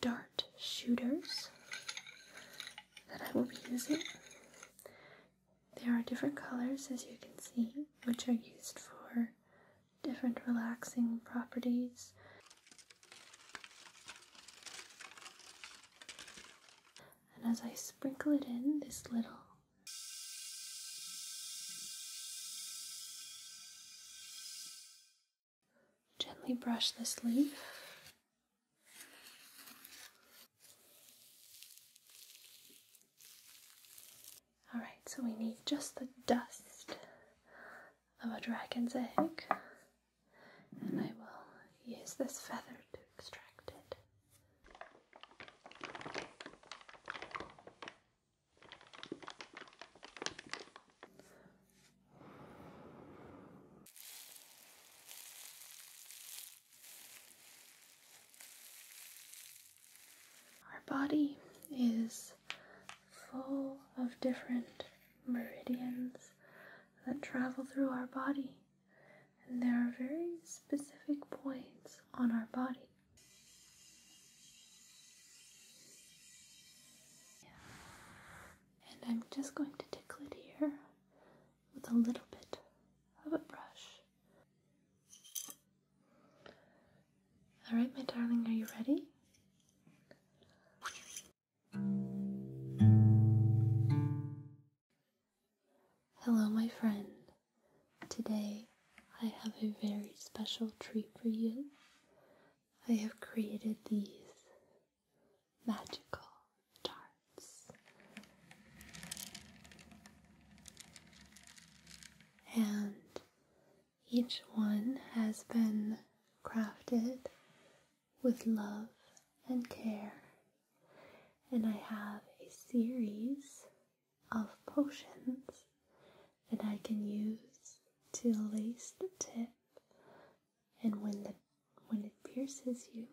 dart shooters that I will be using. There are different colors as you can see, which are used for different relaxing properties. And as I sprinkle it in, this little Gently brush this leaf. All right, so we need just the dust of a dragon's egg, and I will use this feather to extract it. Our body is full of different meridians that travel through our body and there are very specific points on our body. And I'm just going to tickle it here with a little bit of a brush. Alright, my darling, are you ready? Hello, my friend. Today I have a very special treat for you. I have created these magical darts. And each one has been crafted with love and care and I have a series of potions that I can use to lace the tip and when the when it pierces you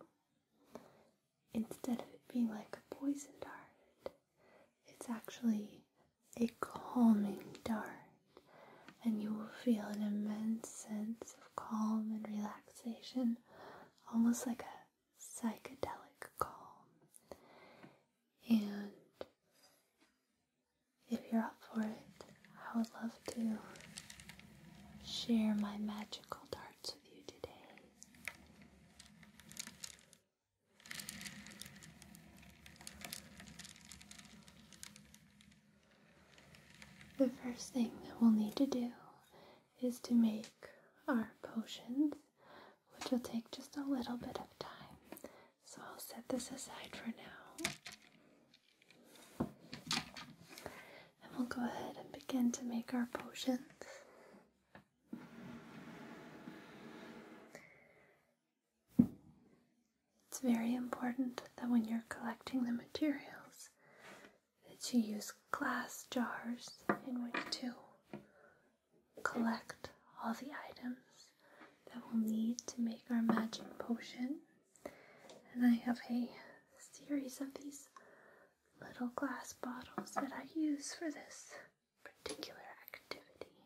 instead of it being like a poisoned dart it's actually a calming dart and you will feel an immense sense of calm and relaxation almost like a psychedelic calm. And if you're up for it, I would love to share my magical darts with you today. The first thing that we'll need to do is to make our potions, which will take just a little bit of time. So I'll set this aside for now. And we'll go ahead and begin to make our potions. It's very important that when you're collecting the materials to use glass jars in which to collect all the items that we'll need to make our magic potion. And I have a series of these little glass bottles that I use for this particular activity.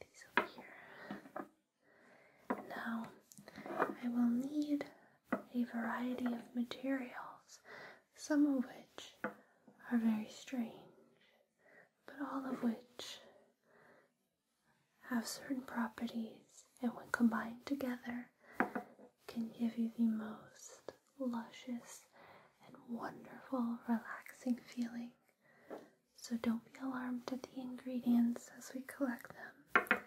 these over here. Now, I will need a variety of materials some of which are very strange, but all of which have certain properties and when combined together can give you the most luscious and wonderful relaxing feeling. So don't be alarmed at the ingredients as we collect them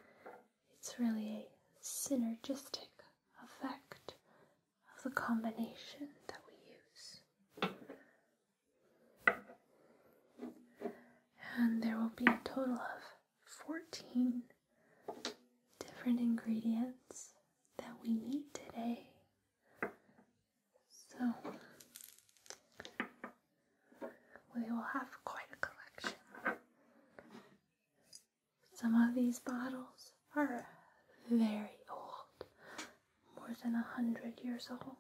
it's really a synergistic effect of the combination that we use. And there will be a total of 14 different ingredients that we need today. So we will have quite a collection. Some of these bottles are very old, more than a hundred years old,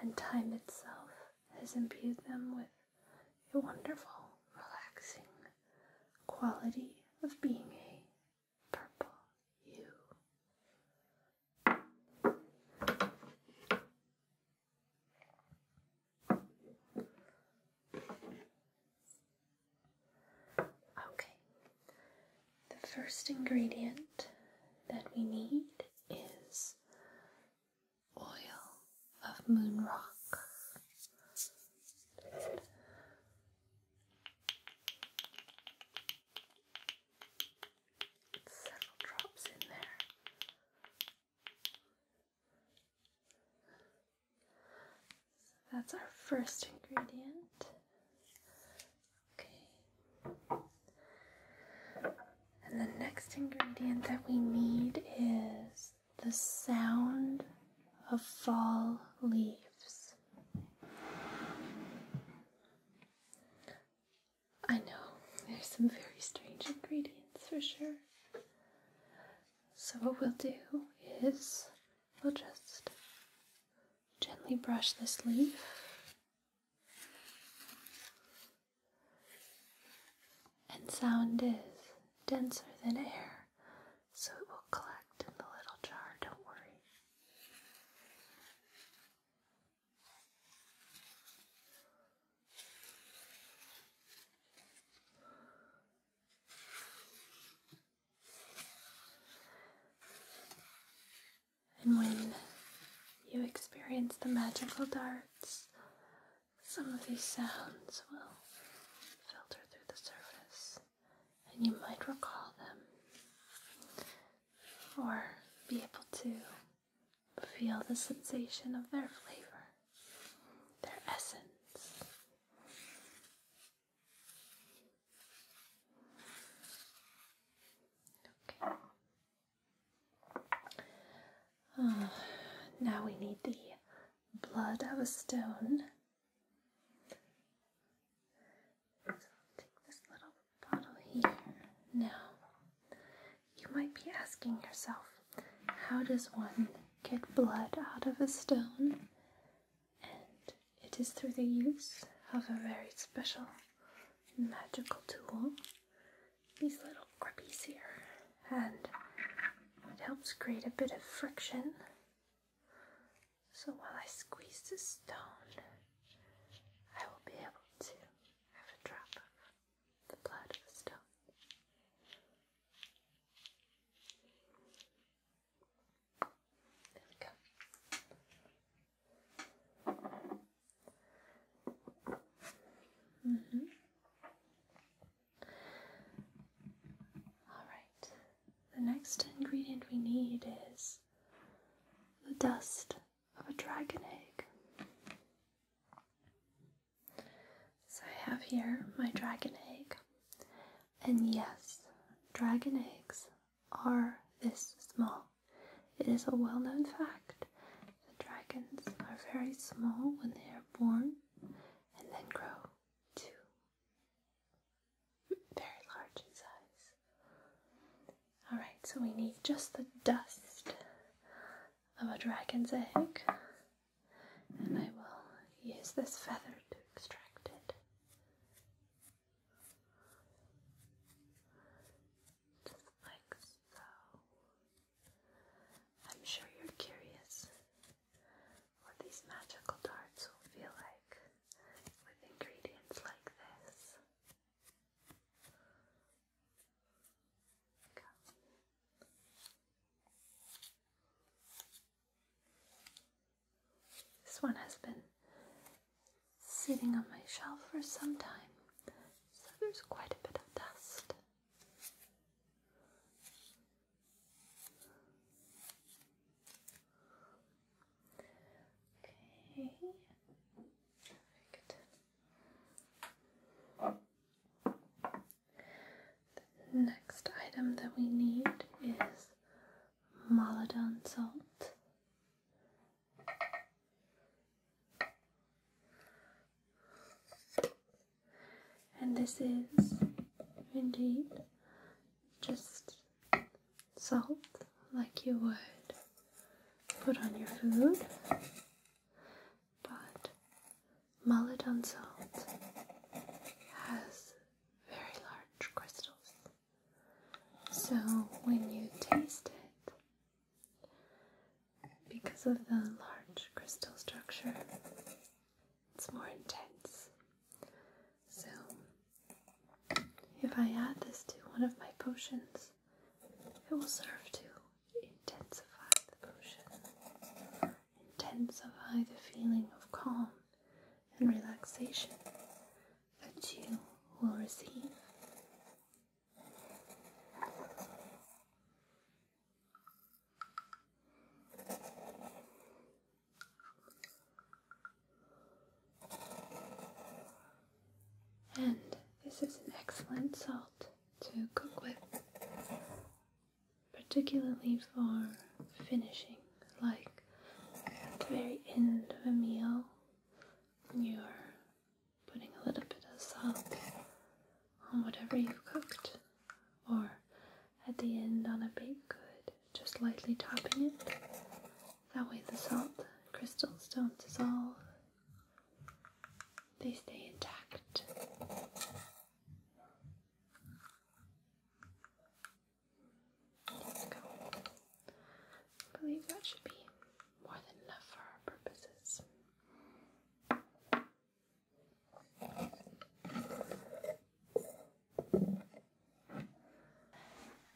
and time itself has imbued them with a wonderful, relaxing quality of being a purple hue. Okay, the first ingredient that we need is oil of moon rock. Several drops in there that's our first ingredient. Okay. And the next ingredient that we need is the sound of fall leaves. I know, there's some very strange ingredients for sure. So, what we'll do is we'll just gently brush this leaf. And sound is denser than air, so it will collect in the little jar, don't worry. And when you experience the magical darts, some of these sounds will filter through the surface and you might recall them or be able to feel the sensation of their flavor, their essence. Okay. Oh, now we need the blood of a stone. So take this little bottle here. Now, you might be asking yourself, how does one get blood out of a stone, and it is through the use of a very special magical tool, these little grippies here, and it helps create a bit of friction. So while I squeeze the stone, I will be able to have a drop of the blood of the stone. There we go. Mm-hmm. All right. The next ingredient we need is the dust of a dragon egg. So I have here my dragon egg. And yes, dragon eggs are this small. It is a well known fact that dragons are very small when they are born and then grow to very large in size. Alright, so we need just the dust of a dragon's egg and I will use this feather to extract it. like so. I'm sure you're curious what these magical darts will feel like with ingredients like this. This one has been sitting on my shelf for some time, so there's quite a bit of dust. Okay. The next item that we need is Maladon salt. And this is indeed just salt like you would put on your food, but Mullet salt has very large crystals, so when you taste it, because of the large crystal structure, it's more intense. So, if I add this to one of my potions, it will serve to intensify the potion intensify the feeling of calm and relaxation that you will receive. And this is an excellent salt to cook with particularly for finishing, like at the very end of a meal, you're putting a little bit of salt on whatever you've cooked, or at the end on a baked good, just lightly topping it. That way, the salt crystals don't dissolve, they stay intact. I believe that should be more than enough for our purposes.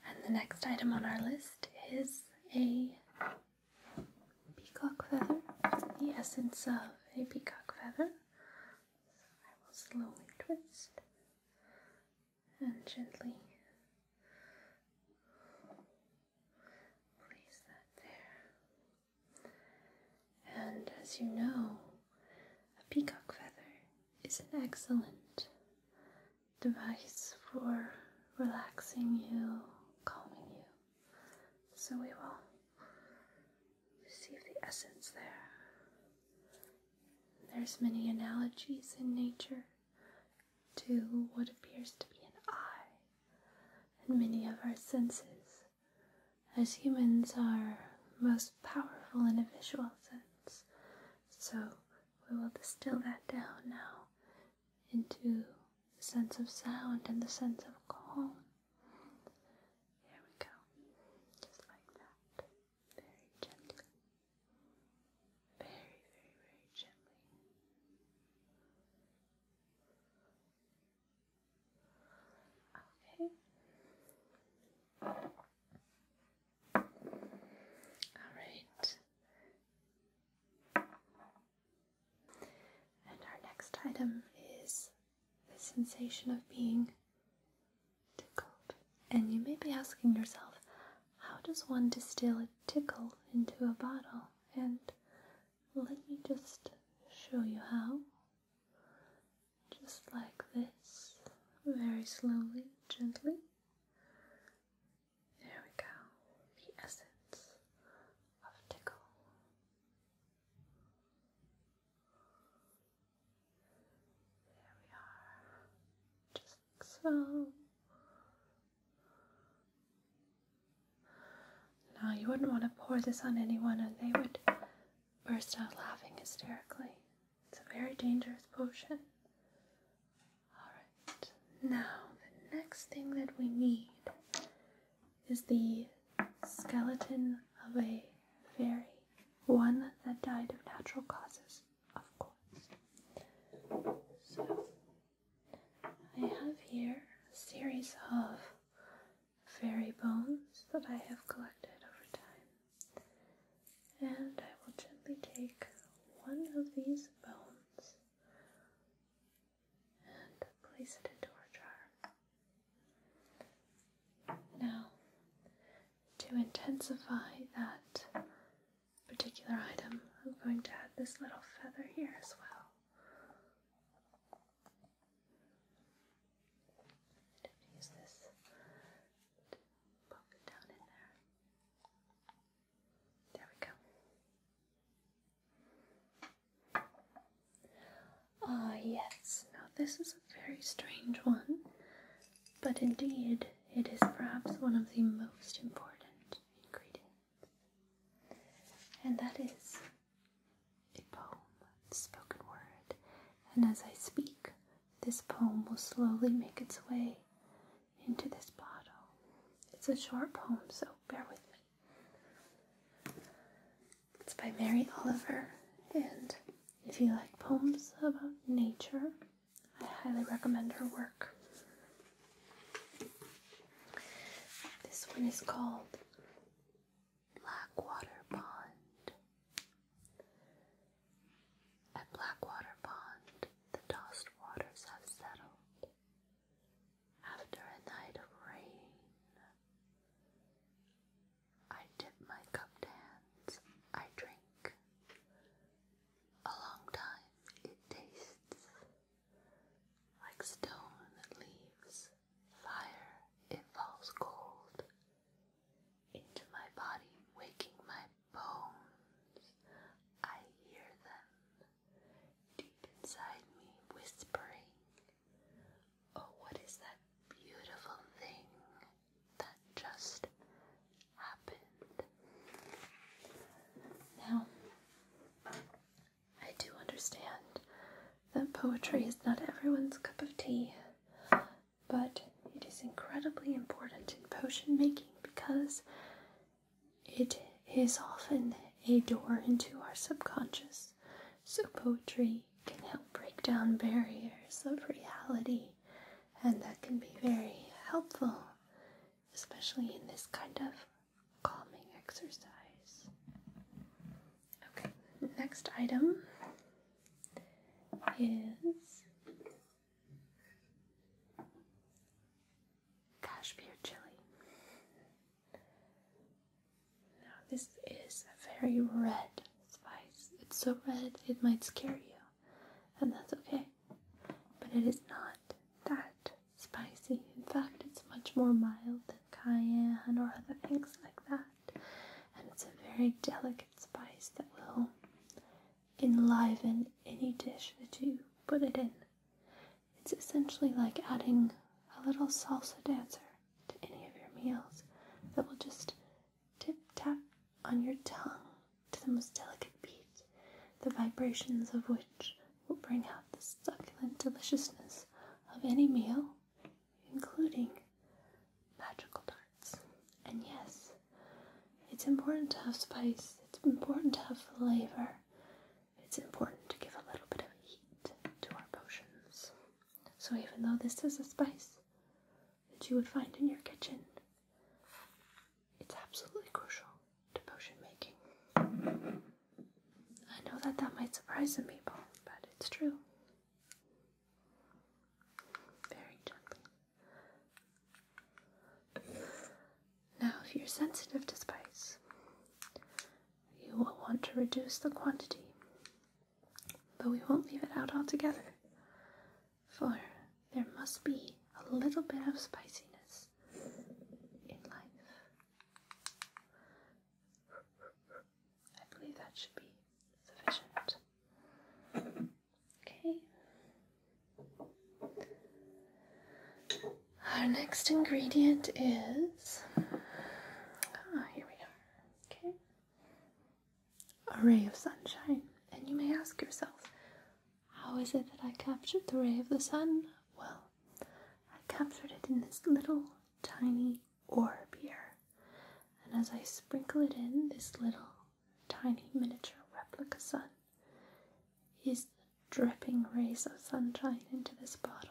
And the next item on our list is a peacock feather, the essence of a peacock feather. I will slowly twist and gently place that there. And as you know, a peacock feather is an excellent device for relaxing you, calming you. So we will Perceive the essence there. There's many analogies in nature to what appears to be an eye, and many of our senses, as humans, are most powerful in a visual sense. So we will distill that down now into the sense of sound and the sense of calm. There we go. Just like that. Very gently. Very, very, very gently. Okay. All right. And our next item is the sensation of being tickled. And you may be asking yourself, how does one distill a tickle into a bottle? And let me just show you how. Just like this, very slowly, gently. There we go, the essence of tickle. There we are. Just so. Now, you wouldn't want to pour this on anyone and they would burst out laughing hysterically. It's a very dangerous potion. Alright, now the next thing that we need is the skeleton of a fairy, one that died of natural causes, of course. So, I have here a series of fairy bones that I have collected over time. And I will gently take one of these bones and place it into our jar. Now, to intensify that particular item, I'm going to add this little feather here as well. Use this poke it down in there. There we go. Ah, yes, now this is a very strange one, but indeed it is perhaps one of the most important ingredients, and that is a poem, spoken word. And as I speak, this poem will slowly make its way into this bottle. It's a short poem, so bear with me. It's by Mary Oliver, and if you like poems about nature, I highly recommend her work. This one is called Blackwater Pond. At Blackwater Pond, the tossed waters have settled. After a night of rain, I dip my cupped hands, I drink. A long time it tastes like stone that leaves fire, it falls cold into my body, waking my bones. I hear them deep inside me whispering Oh, what is that beautiful thing that just happened? Now, I do understand that poetry is not everyone's cup of tea, but it is incredibly important in potion making because it is often a door into our subconscious. So, poetry can help break down barriers of reality, and that can be very helpful, especially in this kind of calming exercise. Okay, next item is cashmere chili. Now, this is a very red spice. It's so red it might scare you, and that's okay. But it is not that spicy. In fact, it's much more mild than cayenne or other things like that. And it's a very delicate spice that will enliven any dish that you put it in. It's essentially like adding a little salsa dancer to any of your meals that will just tip tap on your tongue to the most delicate beat, the vibrations of which will bring out the succulent deliciousness of any meal, including magical darts. And yes, it's important to have spice, it's important to have flavor, it's important to give a little bit of heat to our potions. So, even though this is a spice that you would find in your kitchen, it's absolutely crucial to potion making. I know that that might surprise some people, but it's true. Very gently. Now, if you're sensitive to spice, you will want to reduce the quantity but we won't leave it out altogether, for there must be a little bit of spiciness in life. I believe that should be sufficient. Okay. Our next ingredient is. Ah, here we are. Okay a ray of sunshine. And you may ask yourself, how is it that I captured the ray of the sun? Well, I captured it in this little tiny orb here. And as I sprinkle it in, this little tiny miniature replica sun is dripping rays of sunshine into this bottle.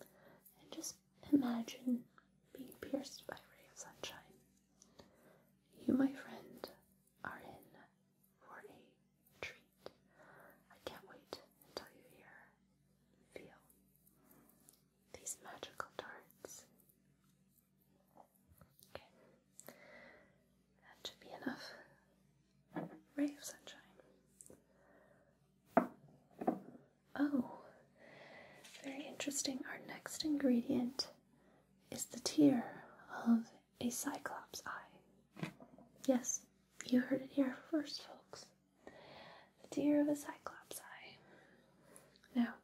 And just Imagine being pierced by a ray of sunshine. You, my friend, are in for a treat. I can't wait until you hear, feel these magical darts. Okay, that should be enough. Ray of sunshine. Oh, very interesting. Our next ingredient is the tear of a cyclops eye. Yes, you heard it here first, folks. The tear of a cyclops eye. Now,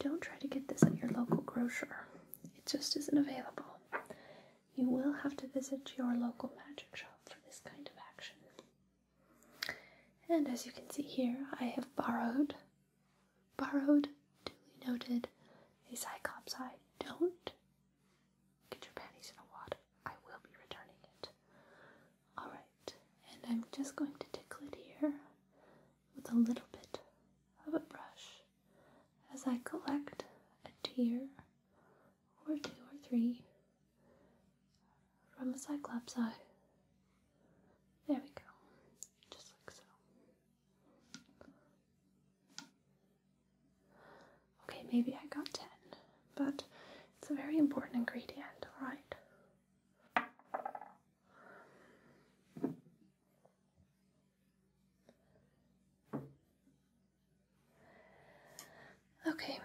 don't try to get this at your local grocer, it just isn't available. You will have to visit your local magic shop for this kind of action. And as you can see here, I have borrowed, borrowed, duly noted, a Cyclops eye. Don't get your panties in a wad. I will be returning it. Alright, and I'm just going to tickle it here with a little bit of a brush as I collect a tear or two or three from a cyclops eye. There we go, just like so. Okay, maybe I got 10, but it's a very important ingredient, alright? Okay,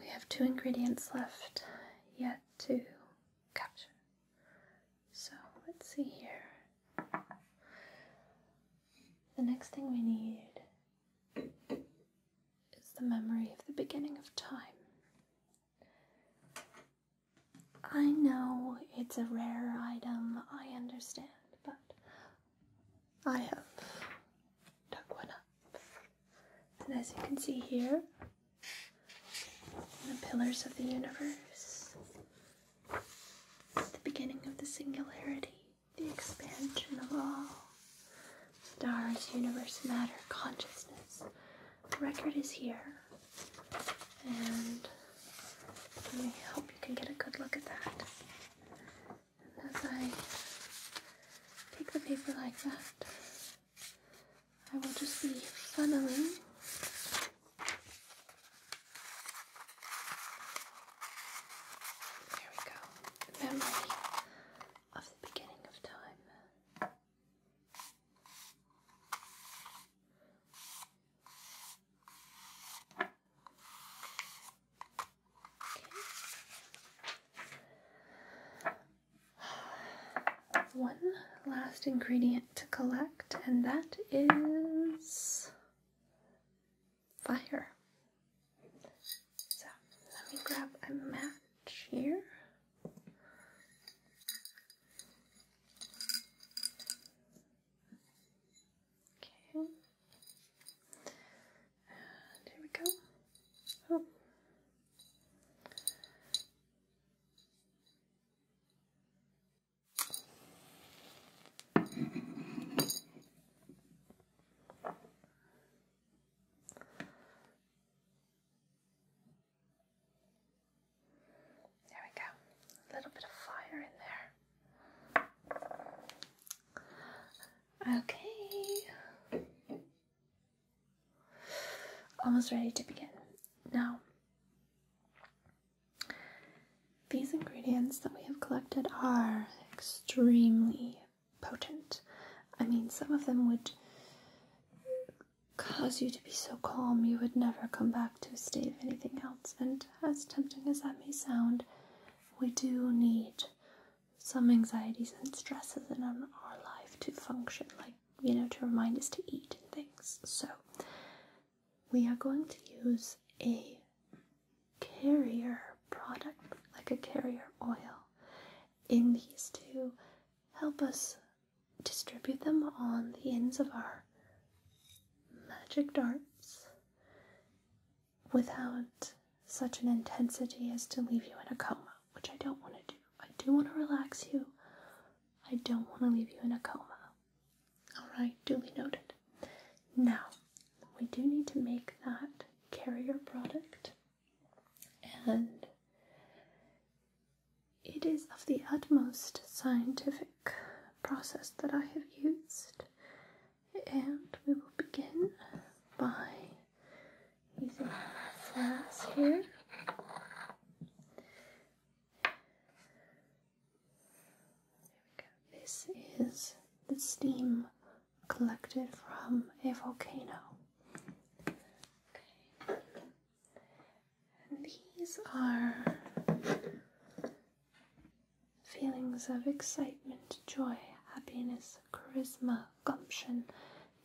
we have two ingredients left, yet to capture. So let's see here. The next thing we need is the memory of the beginning of time. I know it's a rare item, I understand, but I have dug one up. And as you can see here, the pillars of the universe, the beginning of the singularity, the expansion of all stars, universe, matter, consciousness. The record is here, and I hope you can get a good look at that. as I take the paper like that, I will just be funneling there we go, memory of the beginning of time one last ingredient to collect, and that is fire. So let me grab a match here. Okay. here we go. Oh. There we go. A little bit of fire in there. Okay. Almost ready to begin. Now, these ingredients that we have collected are extremely potent. I mean, some of them would cause you to be so calm you would never come back to a state of anything else. And as tempting as that may sound, we do need some anxieties and stresses in our life to function like you know, to remind us to eat things. So, we are going to use a carrier product, like a carrier oil, in these to help us distribute them on the ends of our magic darts without such an intensity as to leave you in a coma which I don't want to do. I do want to relax you. I don't want to leave you in a coma. Alright, duly noted. Now, we do need to make that carrier product, and it is of the utmost scientific process that I have used. And we will begin by using flask here. This is the steam collected from a volcano. Okay. And these are feelings of excitement, joy, happiness, charisma, gumption,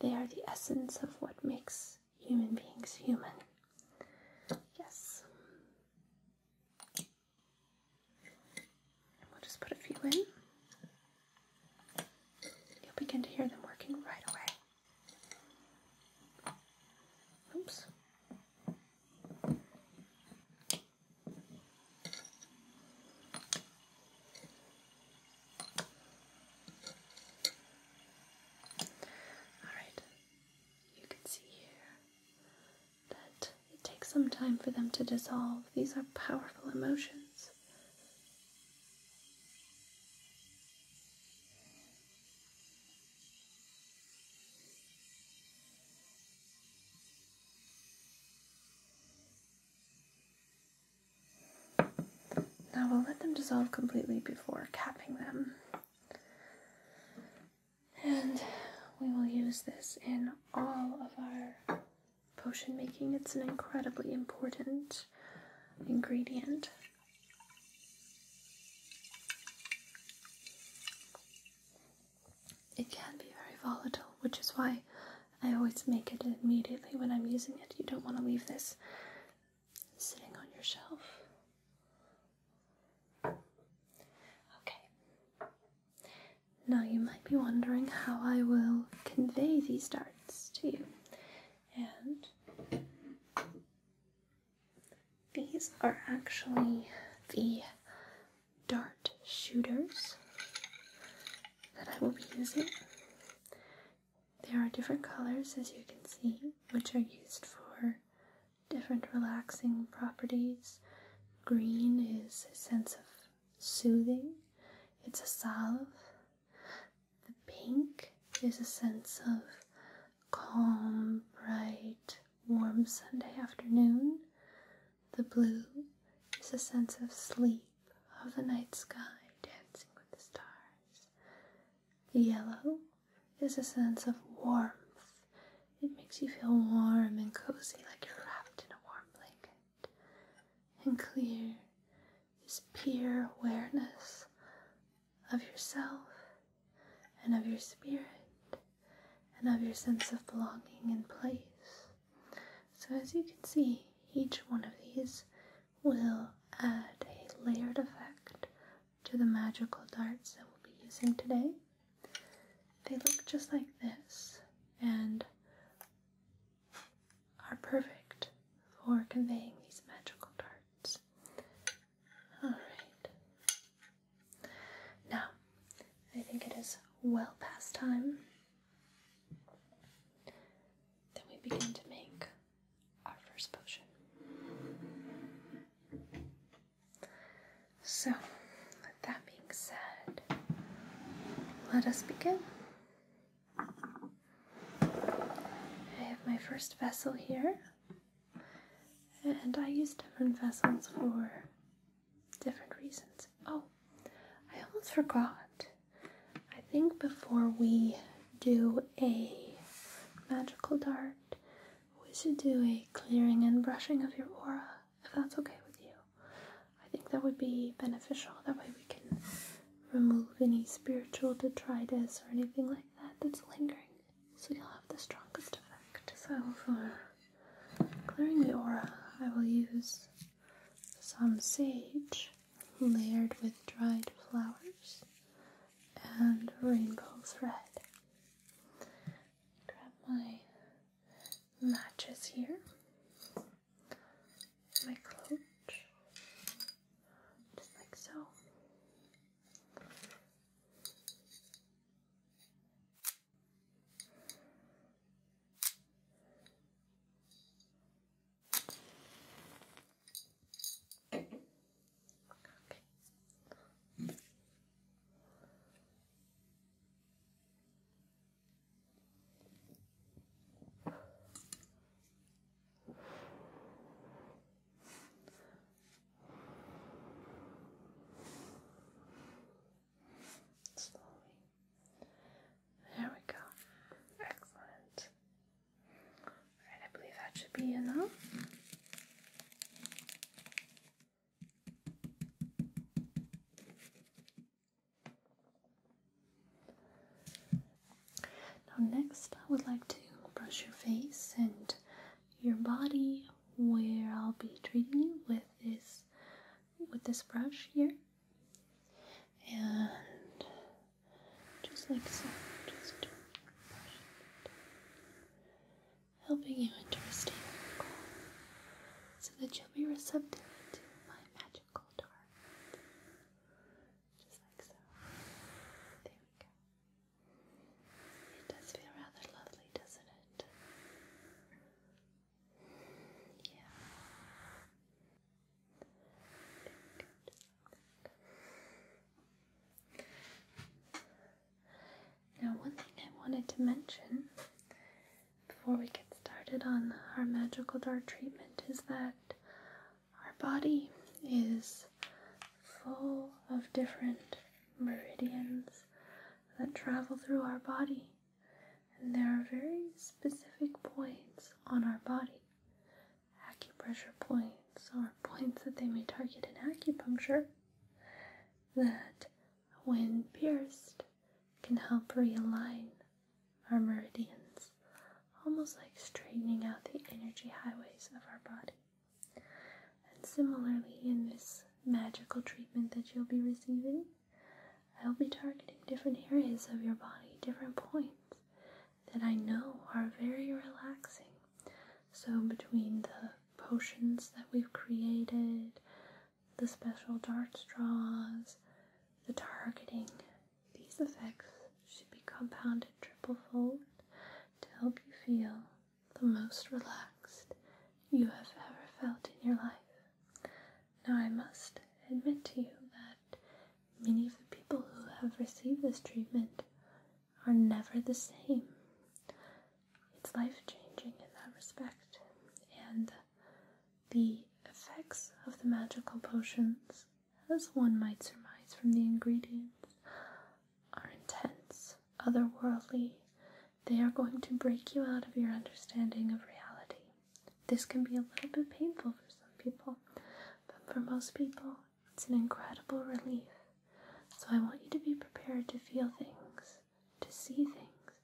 they are the essence of what makes human beings human. Yes. we'll just put a few in. You'll begin to hear them working right away. Oops. Alright, you can see here that it takes some time for them to dissolve. These are powerful emotions. Now we'll let them dissolve completely before capping them. And we will use this in all of our potion making. It's an incredibly important ingredient. It can be very volatile, which is why I always make it immediately when I'm using it. You don't want to leave this sitting on your shelf. Okay. Now you might be wondering how I will convey these darts to you. And these are actually the dart shooters that I will be using. There are different colors, as you can see, which are used for different relaxing properties. Green is a sense of soothing, it's a salve. The pink is a sense of calm, bright, warm Sunday afternoon. The blue is a sense of sleep of the night sky dancing with the stars. Yellow is a sense of warmth. It makes you feel warm and cozy like you're wrapped in a warm blanket. And clear is pure awareness of yourself and of your spirit and of your sense of belonging and place. So, as you can see, each one of these will add a layered effect to the magical darts that we'll be using today. They look just like this and are perfect for conveying these magical darts. Alright. Now, I think it is well past time. Then we begin to make our first potion. So, with that being said, let us begin. I have my first vessel here, and I use different vessels for different reasons. Oh, I almost forgot. I think before we do a magical dart, we should do a clearing and brushing of your aura, if that's okay with you. I think that would be beneficial. That way we can remove any spiritual detritus or anything like that that's lingering. So you'll have the strongest effect. So for clearing the aura, I will use some sage layered with dried flowers and rainbow thread. Grab my matches here, my cloak, just like so. Okay. Slowly. There we go. Excellent. I believe that should be enough. Now, next, I would like to brush your face and your body where I'll be treating you with this with this brush here and just like so, just brush it, helping you enter a state of calm so that you'll be receptive to my magical torment. Just like so. There we go. It does feel rather lovely, doesn't it? Yeah. Now, one thing I wanted to mention before we get started on our magical dart treatment is that our body is full of different meridians that travel through our body, and there are very specific points on our body acupressure points are points that they may target in acupuncture that, when pierced, can help realign our meridians, almost like straightening out the energy highways of our body. And similarly, in this magical treatment that you'll be receiving, I'll be targeting different areas of your body, different points, that I know are very relaxing. So, between the potions that we've created, the special dart straws, the targeting, these effects should be compounded triple fold to help you feel the most relaxed you have ever felt in your life. Now, I must admit to you that many of the people who have received this treatment are never the same. It's life changing in that respect, and the effects of the magical potions, as one might surmise from the ingredients, are intense, otherworldly. They are going to break you out of your understanding of reality. This can be a little bit painful for some people, but for most people, it's an incredible relief. So I want you to be prepared to feel things, to see things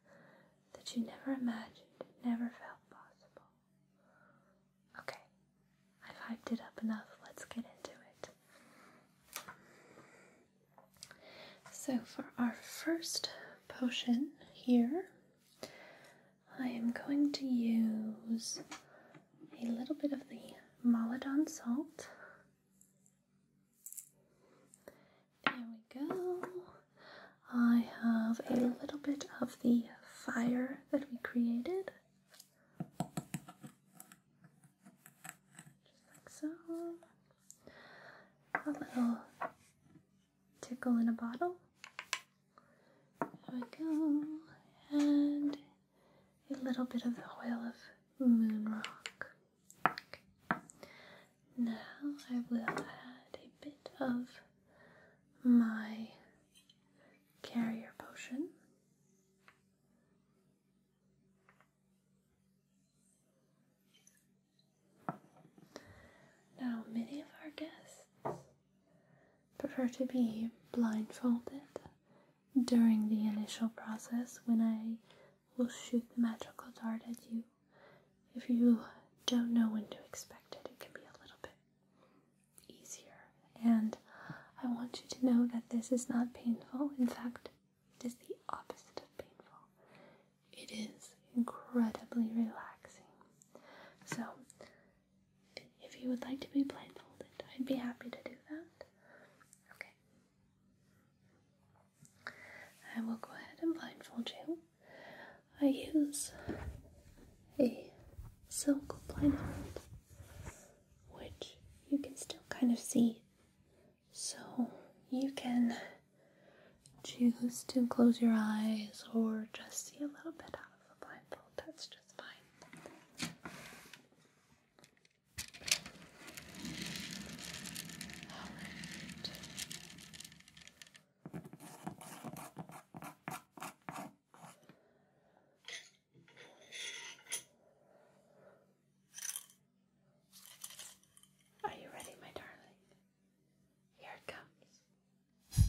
that you never imagined, never felt possible. Okay, I've hyped it up enough. Let's get into it. So, for our first potion here, I am going to use a little bit of the Maladon salt. There we go. I have a little bit of the fire that we created. Just like so. A little tickle in a bottle. There we go. And a little bit of the oil of moon rock. Now I will add a bit of my carrier potion. Now, many of our guests prefer to be blindfolded during the initial process when I will shoot the magical dart at you. If you don't know when to expect it, it can be a little bit easier. And I want you to know that this is not painful. In fact, it is the opposite of painful. It is incredibly relaxing. So, if you would like to be blindfolded, I'd be happy to do that. Okay. I will go ahead and blindfold you. I use a silk blindfold, which you can still kind of see. So you can choose to close your eyes or just see a little bit out of the blindfold. That's just. Are you ready, my darling? Here it comes.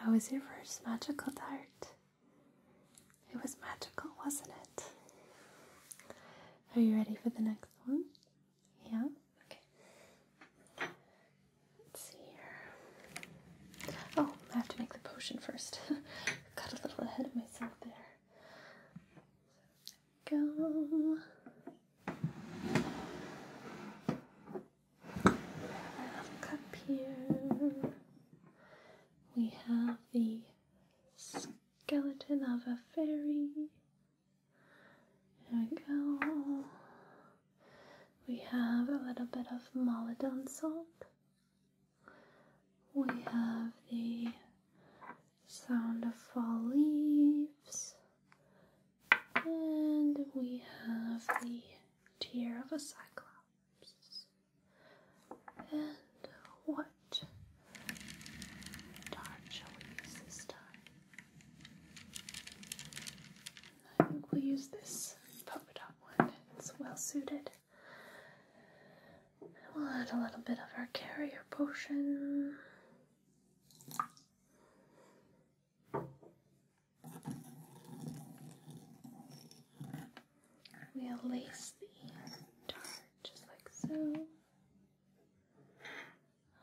How was your first magical dart? It was magical, wasn't it? Are you ready for the next one? Yeah? Okay. Let's see here. Oh, I have to make the potion first. Got a little ahead of myself there go. Up here, we have the skeleton of a fairy. There we go. We have a little bit of molodon salt. We have the sound of fall leaves, and we have the tear of a cyclops. And what dart shall we use this time? I think we'll use this polka dot one. It's well suited. We'll add a little bit of our carrier potion. We'll lace the dart just like so.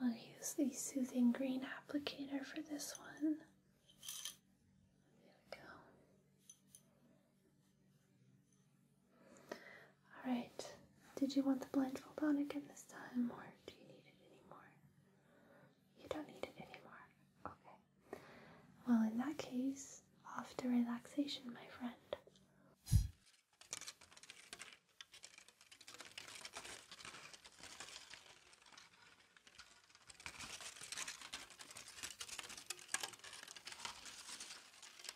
I'll use the soothing green applicator for this one. There we go. Alright, did you want the blindfold on again this time or do you need it anymore? You don't need it anymore. Okay. Well, in that case, off to relaxation, my friend.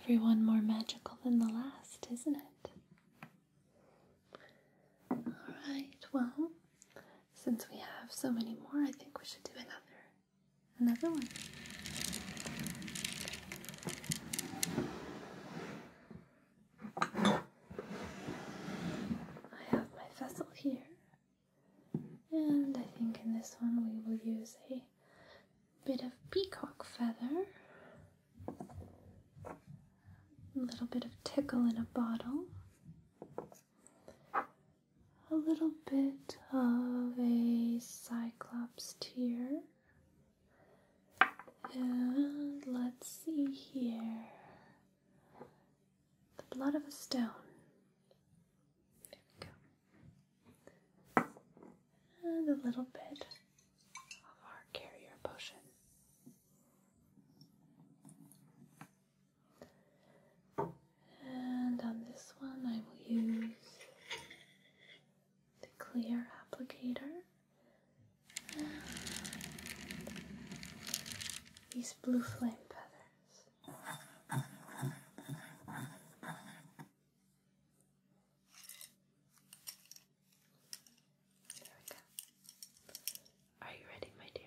Everyone more magical than the last, isn't it? Alright, well, since we have so many more, I think we should do another another one. I have my vessel here, and I think in this one we will use a bit of peacock feather, a little bit of tickle in a bottle, a little bit of a cyclops tear, and let's see here the blood of a stone. And a little bit of our carrier potion. And on this one, I will use the clear applicator these blue flame feathers. There we go. Are you ready, my dear?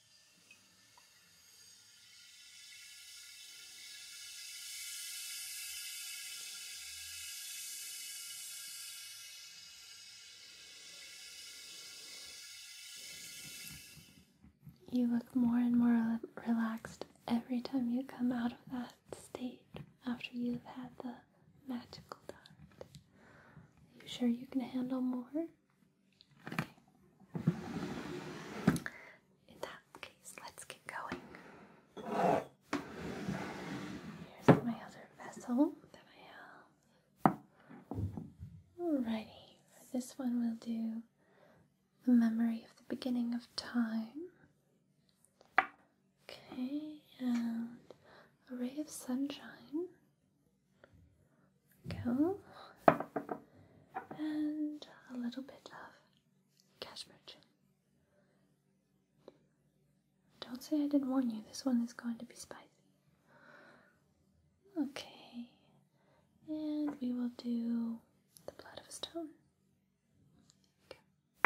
You look more and more relaxed every time you come out of that state after you've had the magical dart. Are you sure you can handle more? In that case, let's get going. Here's my other vessel that I have. Alrighty, this one will do the memory of the beginning of time. Okay, and a ray of sunshine go, and a little bit of cashmere Don't say I didn't warn you, this one is going to be spicy. Okay, and we will do the blood of a stone. Okay.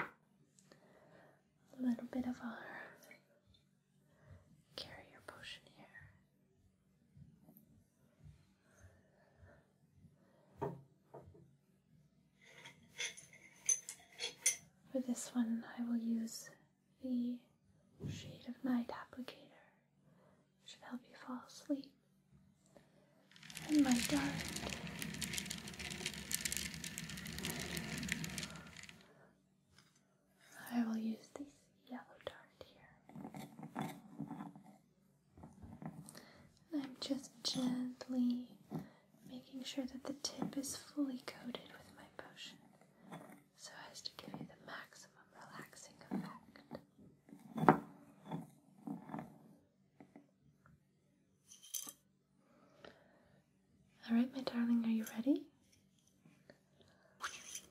A little bit of our carrier potion here. For this one, I will use the Shade of Night applicator, which will help you fall asleep. And my dart. I will use these yellow dart here. I'm just gently making sure that the tip is fully coated with my potion so as to give you the maximum relaxing effect. Alright, my darling, are you ready?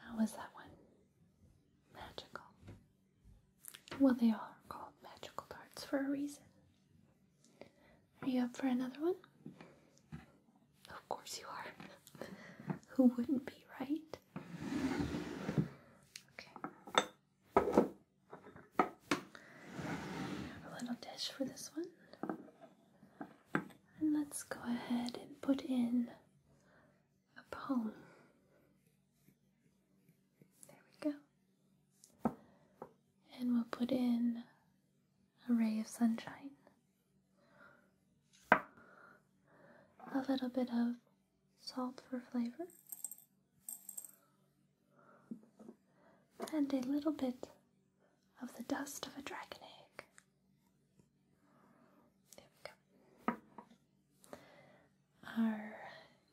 How is that one? Magical. Well, they are called magical darts for a reason. Are you up for another one? Of course you are. Who wouldn't be, right? Okay. a little dish for this one. And let's go ahead and put in a poem. There we go. And we'll put in a ray of sunshine a little bit of salt for flavor, and a little bit of the dust of a dragon egg. There we go. Our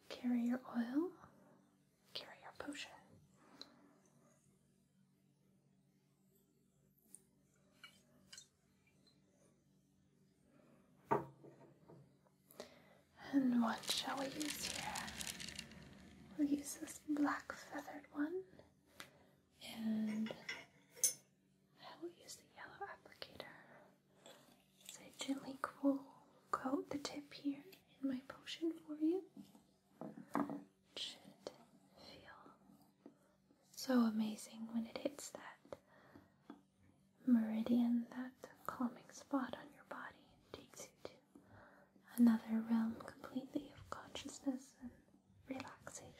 carrier oil, carrier potion. And what shall we use here? We'll use this black feathered one, and I will use the yellow applicator. So I gently coat the tip here in my potion for you. should feel so amazing when it hits that meridian, that calming spot on your body, and takes you to another realm completely of consciousness and relaxation.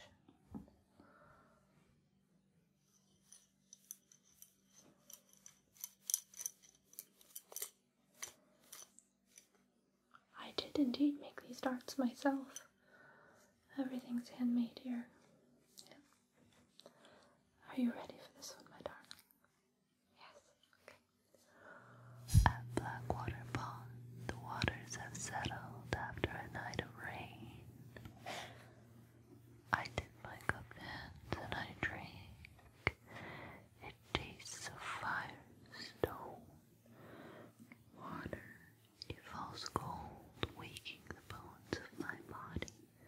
I did indeed make these darts myself. Everything's handmade here. Are you ready for this one, my darling? Yes. At Blackwater Pond, the waters have settled after a night of rain. I dip my cup hands and I drink. It tastes of fire, water, it falls cold, waking the bones of my body.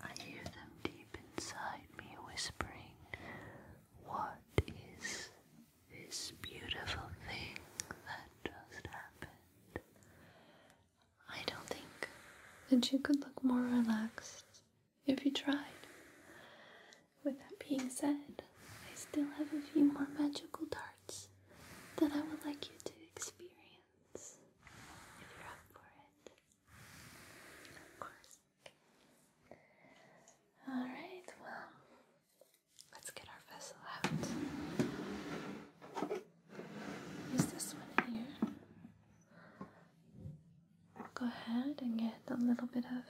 I hear them deep inside me whispering, What is this beautiful thing that just happened? I don't think that you could look more relaxed if you tried. With that being said, I still have a few more magical darts that I would like you to experience if you're up for it. Of course. Alright, well, let's get our vessel out. Use this one here. Go ahead and get a little bit of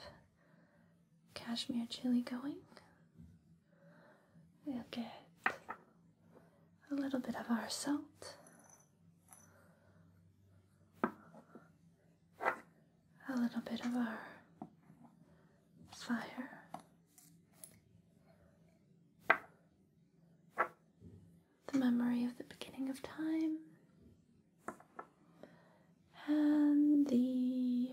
cashmere chili going. We'll get a little bit of our salt, a little bit of our fire. The memory of the beginning of time and the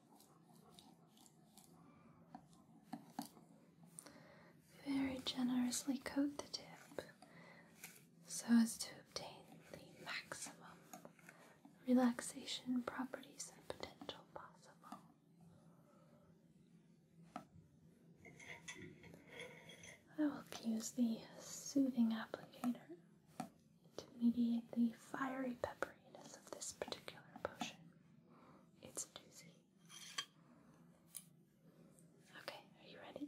Very generously coat the tip so as to obtain the maximum relaxation properties and potential possible. I will use the soothing applicator to mediate the fiery pepper of this particular potion. It's a doozy. Okay, are you ready?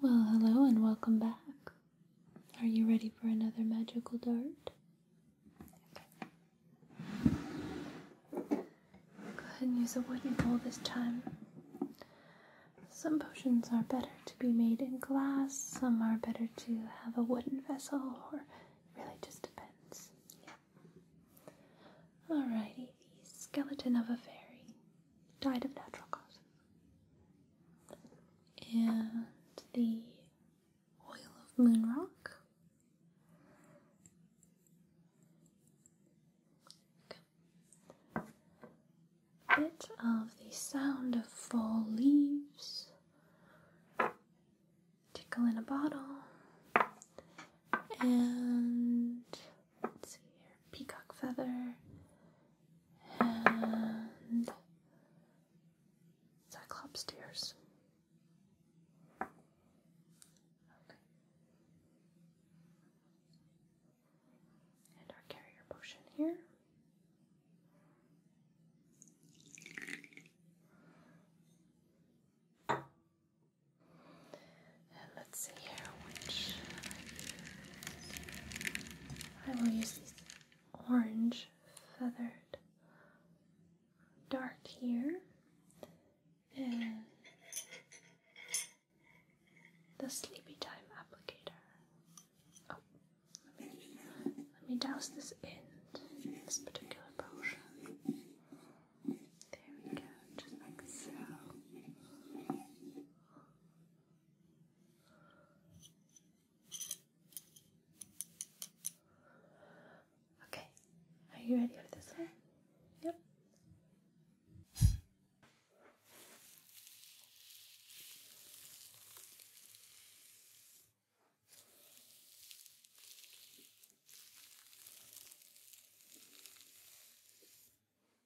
Well, hello and welcome back. Are you ready for another magical dart? Go ahead and use a wooden bowl this time. Some potions are better to be made in glass, some are better to have a wooden vessel, or really just depends. Yeah. Alrighty, the skeleton of a fairy died of natural causes and the oil of moon rock. A bit of the sound of fall leaves. Tickle in a bottle. And peacock feather, and cyclops tears. Okay. And our carrier potion here let's see here which I will use these orange feathered dark here and the sleepy time applicator. Oh, let me, let me douse this in this particular potion. There we go, just like so. Okay, are you ready for this one? Yep.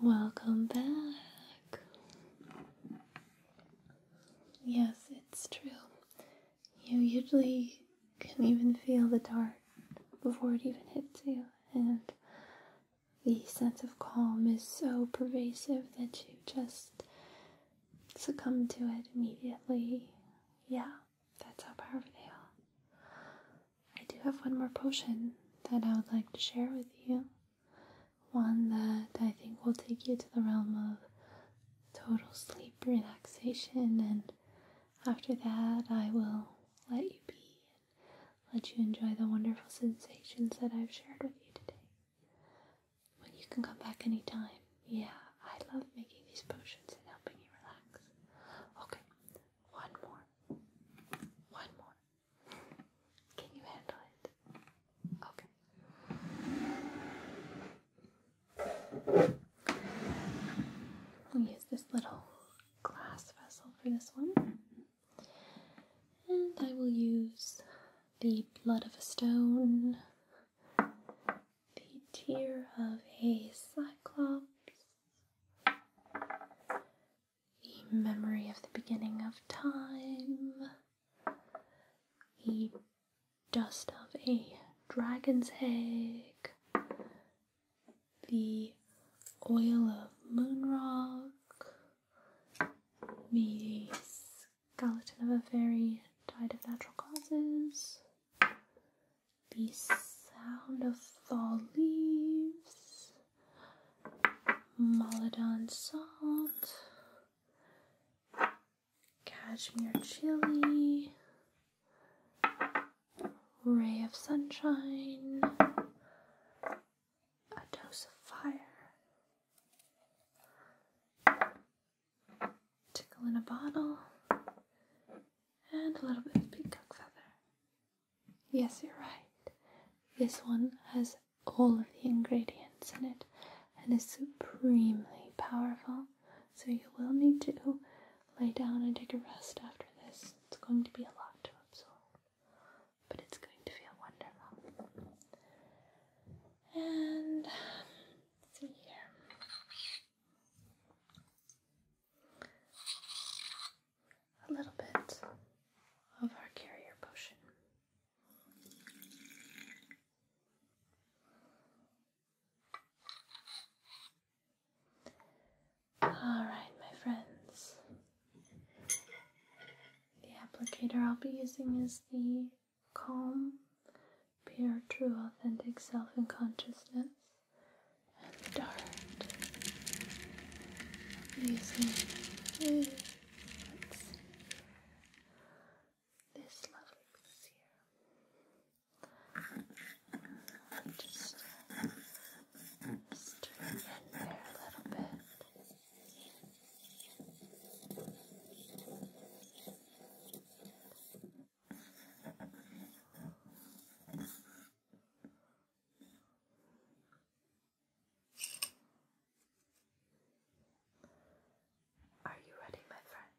Welcome back. Yes, it's true. You usually can even feel the dart before it even hits you, and the sense of calm is so pervasive that you just succumb to it immediately. Yeah, that's how powerful they are. I do have one more potion that I would like to share with you. One that I think will take you to the realm of total sleep relaxation, and after that, I will let you be and let you enjoy the wonderful sensations that I've shared with you today. Well, you can come back anytime. Yeah, I love making these potions and helping you relax. Okay, one more. One more. Can you handle it? Okay. We'll use this little glass vessel for this one. And I will use the blood of a stone the tear of a cyclops, the memory of the beginning of time, the dust of a dragon's egg, the oil of moon rock, Gallatin of a Avery died of natural causes. The Sound of Fall Leaves. Maladon Salt. Cashmere Chili. Ray of Sunshine. A Dose of Fire tickle in a bottle, and a little bit of peacock feather. Yes, you're right. This one has all of the ingredients in it and is supremely powerful. So, you will need to lay down and take a rest after this. It's going to be a lot to absorb, but it's going to feel wonderful. And see here. A little bit of our carrier potion. All right, my friends. The applicator I'll be using is the calm, pure, true, authentic self and consciousness. And dart. Amazing. this lovely piece just stir in there a little bit. Are you ready, my friend?